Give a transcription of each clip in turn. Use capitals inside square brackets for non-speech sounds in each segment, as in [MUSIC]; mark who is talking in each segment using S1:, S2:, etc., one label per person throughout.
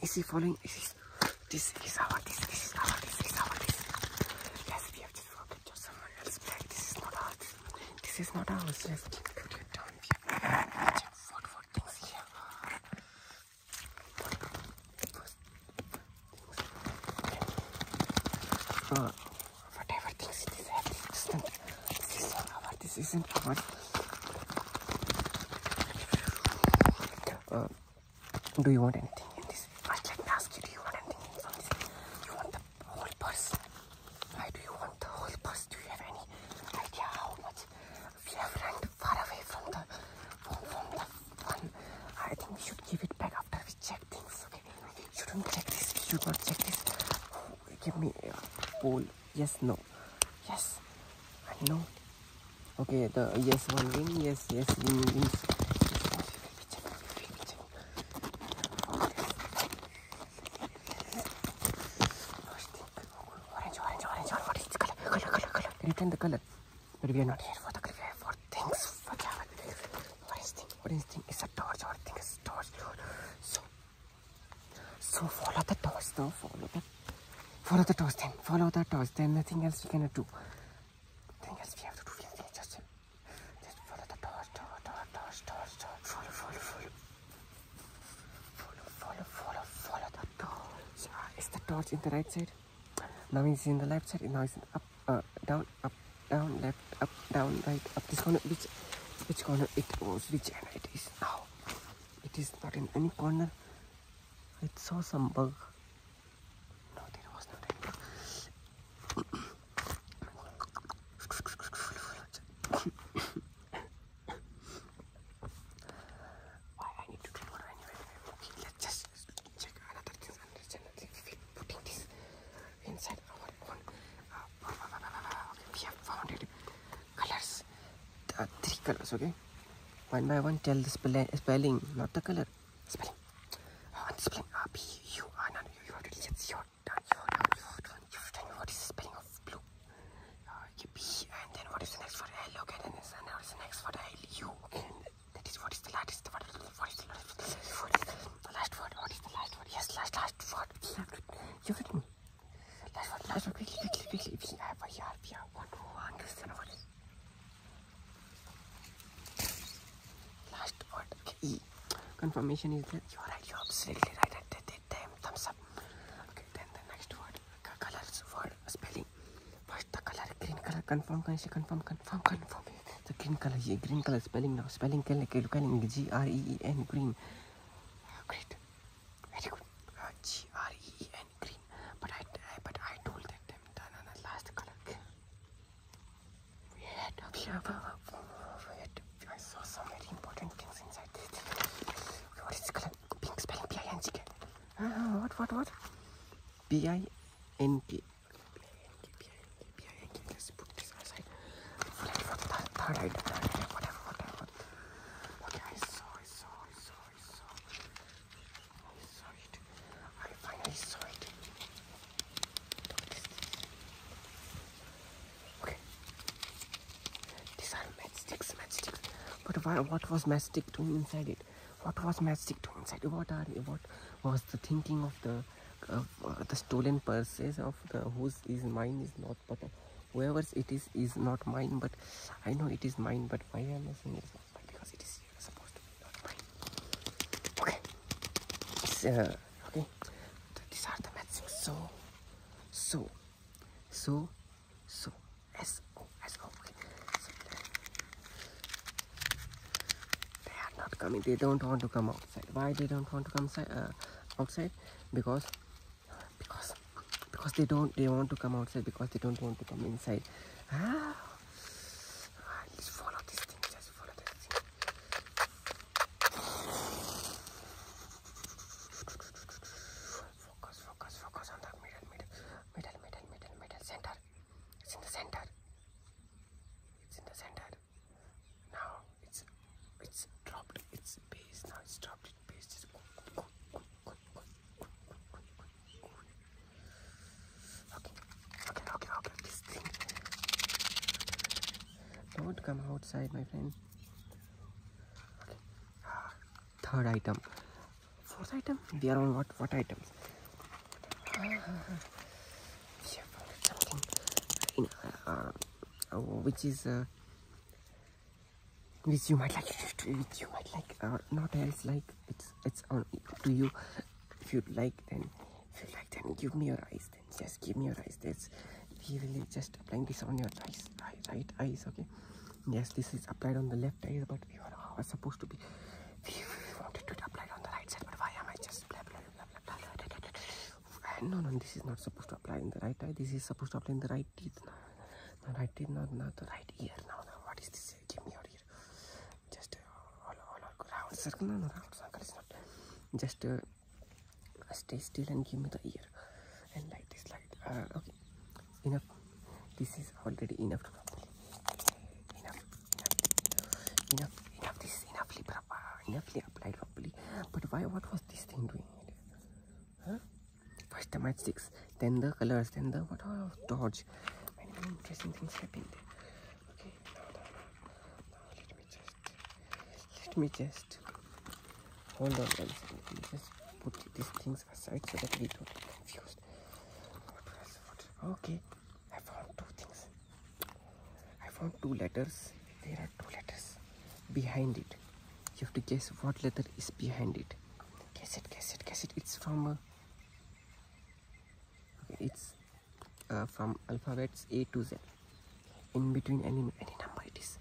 S1: Is he following? Is he, this is our, this, this is our, this is our, this. Yes, we have just forgot to someone else black. This is not ours. This is not ours. Yes, put it down. We have check what, what things here. Uh, whatever things it is, this isn't, this isn't our, this isn't our. Uh, do you want anything in this? I'd like to ask you, do you want anything in this? You want the whole purse? Why do you want the whole purse? Do you have any idea how much we have run far away from the from, the one? I think we should give it back after we check things. Okay, we shouldn't check this. We should not check this. Give me a uh, poll. Yes, no. Yes, I know. Okay, the uh, yes one win, yes, yes, win wins. Return the color, but we are not here for the color. For things, for Java. What is thing? What is thing? Is a torch or thing is torch. So so follow the toes now, follow the follow the toes then, follow the toes, then nothing else we cannot do. Nothing else we have to do, we have to just, just follow the toes, toes, toes, toes, toes, toes, follow, follow, follow. Follow, follow, follow, follow the toes. Ah, is the torch in the right side? Now it's in the left side, now it's up, uh, down, up, down, left, up, down, right, up this corner, which, which corner it was, which end it is now. It is not in any corner. I saw some bug. No, there was not any Why I need to clean water anyway? Okay, let's just check another thing. Understand that if we putting this inside our own. Uh, okay, we have found it colors uh, three colors okay one by one tell the spell spelling not the color spelling oh, spelling uh, B U no, you, are have it your you tell me what is the spelling of blue uh, and then what is the next word L okay then and what is the next word L U And that is what is the last what is what is the last word what is the last word what is the last word yes last last word you have to you
S2: Er last one, last one, quickly, quickly, quickly. We have a
S1: YRP, one who understand Last word, E. Confirmation is there. you're right, you're absolutely right. At thumbs up. Okay, then the next word, colors, word, spelling. First, the color, green color, confirm, confirm, confirm, confirm. The green color, yeah, er green color, spelling now, spelling, spelling, G R E E N, green. Great. Very good. Uh, green. But I, but I told them, them the, the, the last color. We had we we had, I saw some very important things inside this. what is the color? Pink spelling P I N G K. Uh, what what what? B I N K. Let's put this aside. Third, third, item, whatever, whatever. Okay, I saw, I saw, I saw, I saw. I saw it. I finally saw it. Okay. These are matchsticks, matchsticks. But what was matchstick doing inside it? What was matchstick doing inside it? What are what was the thinking of the uh, the stolen purses of the whose is mine is not but whoever's it is is not mine but i know it is mine but why am i not mine because it is supposed to be not mine okay uh, okay so these are the so so so so so they are not coming they don't want to come outside why they don't want to come uh, outside because because because they don't they want to come outside because they don't want to come inside ah, ah follow this thing just follow this thing focus focus focus on the middle middle middle middle middle middle center it's in the center it's in the center that now it's it's dropped its base now it's dropped its base just okay okay okay okay this thing don't come outside my friend okay ah, third item fourth item they are on what what items ah, we have something in, uh, which is which you might like which you might like not else like it's it's on to you if you like then if you like then give me your eyes then just give me your eyes that's we really just applying this on your eyes right, eyes okay yes this is applied on the left eye but we were, supposed to be we, we wanted to apply on the right side but why am i just blah blah blah blah, blah, blah, blah no no this is not supposed to apply in the right eye this is supposed to apply in the right teeth no, right teeth not the right ear now no, what is this give me your ear just uh, all, all, all circle no no circle is not just uh, stay still and give me the ear and like this like uh, okay enough this is already enough enough enough enough, enough. this is enough libra enough applied properly. But why? What was this thing doing? First the matchsticks, then the colors, then the what all dodge. Many, interesting things happened. Okay, now, now, now, now let me just let me just hold on Let me just put these things aside so that we don't get confused. Okay. I found two things. I found two letters. There are two letters behind it. You have to guess what letter is behind it. Guess it, guess it, guess it. It's from. Uh, it's uh, from alphabets A to Z. In between any any number it is.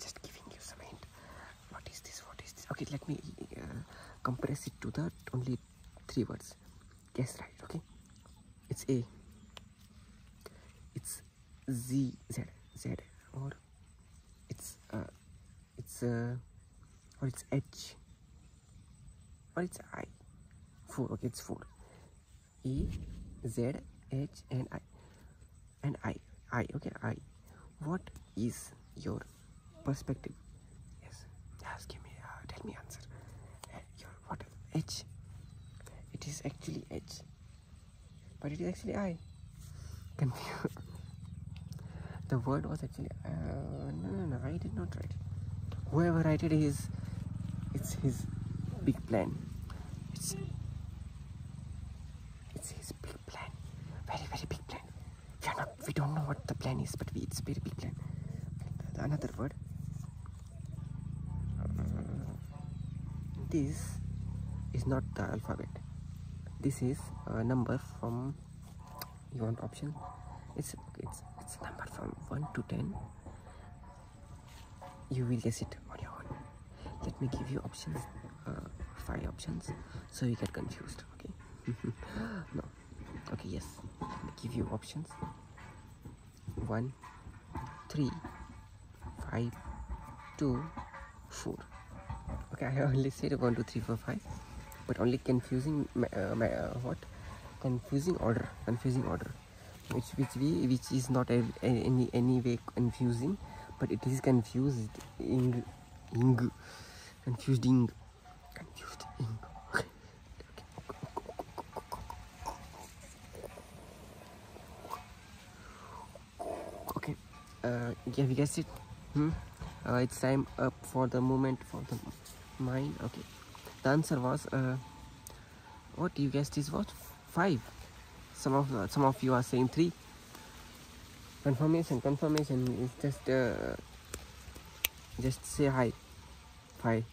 S1: Just giving you some hint. What is this? What is this? Okay, let me uh, compress it to that. only three words guess right okay it's a it's z z z or it's uh it's uh or it's h or it's i four okay it's four e z h and i and i i okay i what is your perspective yes just me uh, tell me answer uh, what H it is actually H but it is actually I confused [LAUGHS] the word was actually uh, no no no I did not write it whoever wrote it is it's his big plan it's it's his big plan very very big plan we are not we don't know what the plan is but it's very big plan another word this is not the alphabet this is a uh, number from you want option it's it's it's number from 1 to 10 you will guess it on your own let me give you options uh, five options so you get confused okay [LAUGHS] no okay yes they give you options one three five two four okay i only [LAUGHS] said one two three four five but only confusing my, uh, uh, what confusing order confusing order which which we which is not any any way confusing but it is confused in, in confusing Okay, uh, have you guessed it? Hmm? Uh, it's time up for the moment for the mine. Okay, the answer was uh, what you guessed is what five. Some of uh, some of you are saying three. Confirmation, confirmation is just uh, just say hi. 5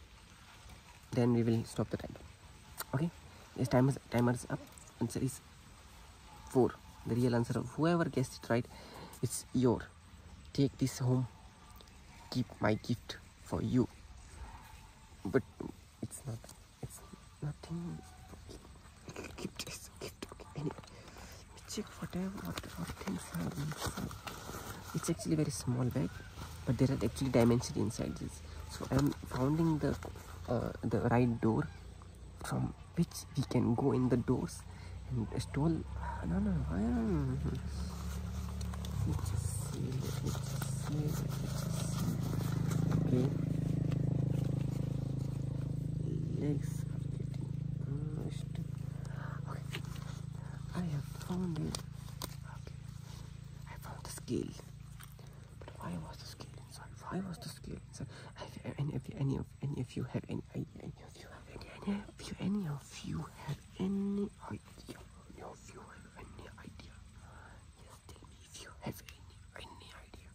S1: then we will stop the time. okay this timer's timer is up answer is 4 the real answer of whoever guessed it right it's your take this home keep my gift for you but it's not it's nothing keep this gift okay anyway check whatever what, things have It's actually very small bag, but there are actually dimensions inside this. So I'm finding the uh, the right door from which we can go in the doors and stall. No, no, no. Let me just see. Let me see. Let me just see. Okay. I have found it. I found the scale. But why was the scale inside? Why was the scale inside? If any of you, any of you have any any of you have any any of you idea? Any of you have any idea? Yes, tell me if you have any any idea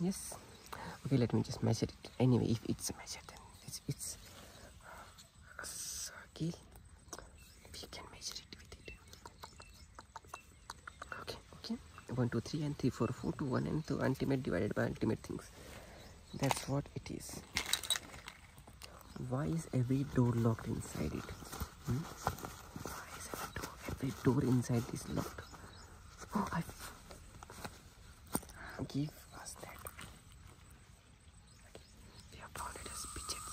S1: yes okay let me just measure it anyway if it's measured then it's it's uh, a circle we can measure it with it okay okay one two three and three four four two one and so ultimate divided by ultimate things that's what it is why is every door locked inside it hmm? why is every door every door inside is locked oh, I give us that okay. we have found it as fidget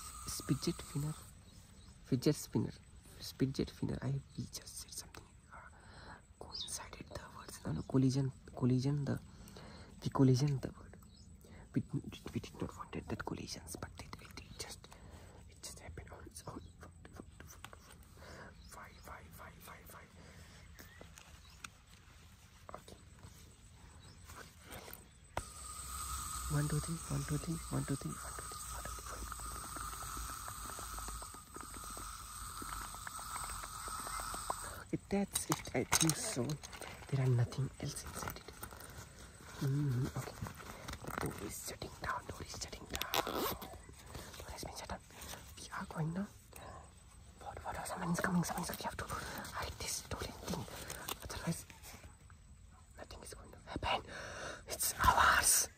S1: fidget spinner fidget spinner fidget spinner I we just said something coincided the words no, no collision collision the the collision the word we, we did not wanted that collisions but it, it, it just it just happened on its own why why why why why okay one two three one two three one two three one two three one two three if that's it, I think so. There are nothing else inside it. Mm-hmm, okay. Door is down. Door is down. Door has been shut down. We are going now. What? What? Someone is coming. Someone is coming. We have to hide this door thing. Otherwise, nothing is going to happen. It's ours.